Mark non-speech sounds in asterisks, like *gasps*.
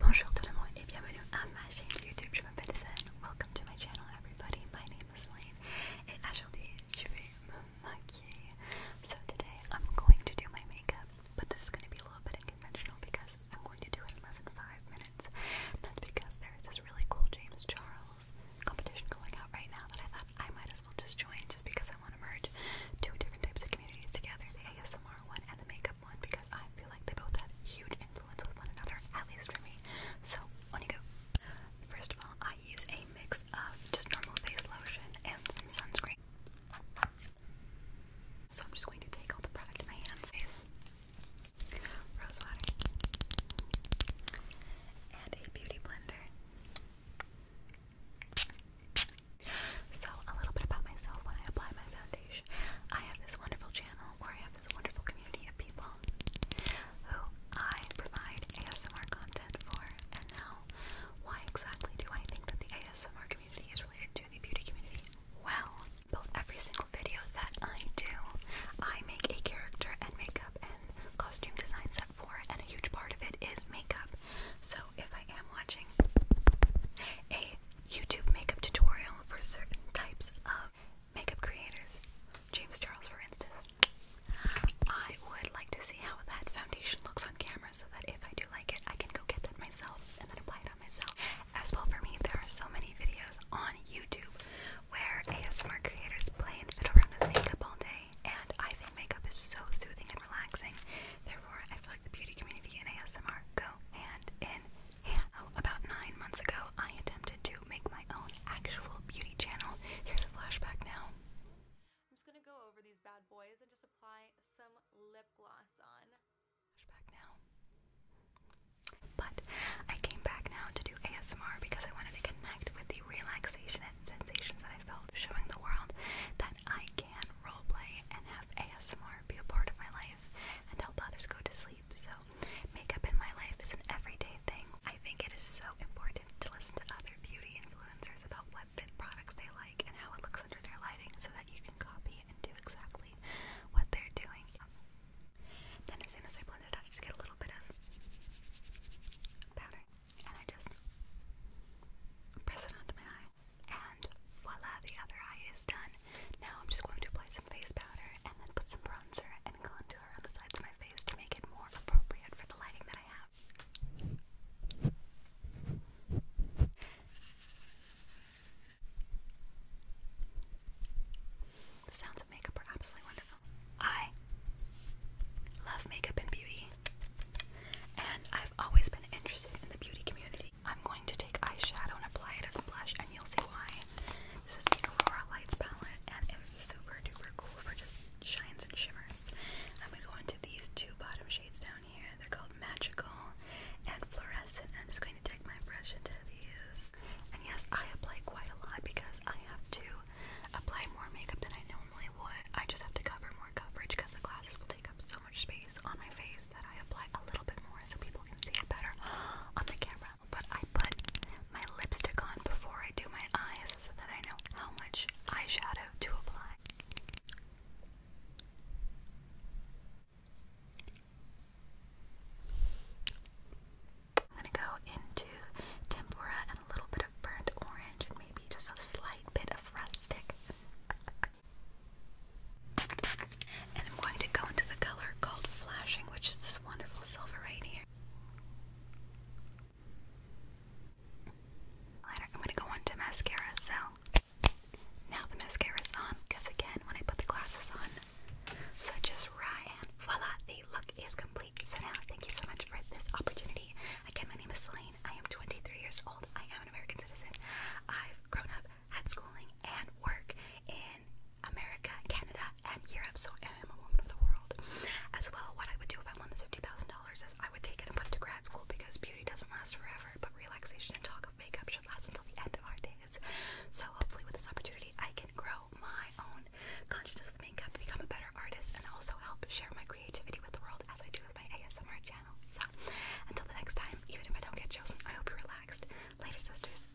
Bonjour tout le monde et bienvenue à ma chaîne YouTube, je m'appelle Zen, welcome to my channel everybody, my name is Lane et aujourd'hui je vais me maquiller. So today I'm going to do my makeup, but this is going to be a little bit unconventional because I'm going to do it in less than 5 minutes. That's because there is this really cool James Charles competition going out right now that I thought I might as well just join just because someone emerge two different types of communities together, the ASMR one and the makeup one, because I feel like they both have huge influence with one another, at least for me. So, on you go. First of all, I use a mix of just normal face lotion and some sunscreen. So I'm just going to take all the product in my hands. rose water, and a beauty blender. So, a little bit about myself when I apply my foundation. I have this wonderful channel where I have this wonderful community of people who I provide ASMR content for. And now, why exactly do I think that the ASMR community is related to the beauty community? Well, about every single video that I do, I make a character and makeup and costume design and a huge part of it is makeup. So if I am watching a YouTube makeup tutorial for certain types of makeup creators, James Charles for instance, I would like to see how that foundation looks on camera so that if I do like it, I can go get that myself and then apply it on myself. As well for me, there are so many videos on YouTube where ASMR creators play and fiddle around with makeup all day, and I think makeup is so soothing and relaxing. Therefore, I feel like the beauty community and ASMR go hand in hand. Oh, about nine months ago, I attempted to make my own actual beauty channel. Here's a flashback now. I'm just gonna go over these bad boys and just apply some lip gloss on. Flashback now. But I came back now to do ASMR because I wanted to connect with the relaxation and sensations that I felt, showing the world that I can roleplay and have ASMR be a part of my life and help others go to sleep. So, makeup in my life is an everyday thing. I think it is so important to listen to other beauty influencers about what fit products they like and how it looks under their lighting so that you can copy and do exactly what they're doing. Then as soon as I blend it I just get a little bit of powder. And I just press it onto my eye. And voila, the other eye is done. Now I'm just going to apply some face powder and then put some bronzer and contour on the sides of my face to make it more appropriate for the lighting that I have. The sounds of makeup are absolutely wonderful. I love makeup and beauty, and I've always been interested in the beauty community. I'm going to take eyeshadow and apply it as a blush, and you'll see why. This is the Aurora Lights palette, and it is super duper cool for just shines and shimmers. I'm going to go into these two bottom shades down they're called Magical and Fluorescent. I'm just going to take my brush into these. And yes, I apply quite a lot because I have to apply more makeup than I normally would. I just have to cover more coverage because the glasses will take up so much space on my face that I apply a little bit more so people can see it better *gasps* on the camera. But I put my lipstick on before I do my eyes so that I know how much eyeshadow to apply. I'm gonna go into tempura and a little bit of burnt orange and maybe just a slight bit of rustic. And I'm going to go into the color called flashing, which is this wonderful silver right here. Later, I'm gonna go on to mascara. So now the mascara's on, because again, when I put the glasses on, such as Ryan, voila, the look is complete. So now, thank you so much for this opportunity. Again, my name is Celine. I am 23 years old. I am an American citizen. I've grown up, had schooling and work in America, Canada, and Europe. So I am a woman of the world. As well, what I would do if I won this $50,000 is I would take it and put to grad school because beauty doesn't last forever, but relaxation and talk of makeup should last until the end of our days. So hopefully with this opportunity, I can grow my own consciousness with makeup, become a better artist, and also help share my creativity with the world as I do with my ASMR channel. So until the next time, even if I don't get chosen, I hope you're relaxed. Later, sisters.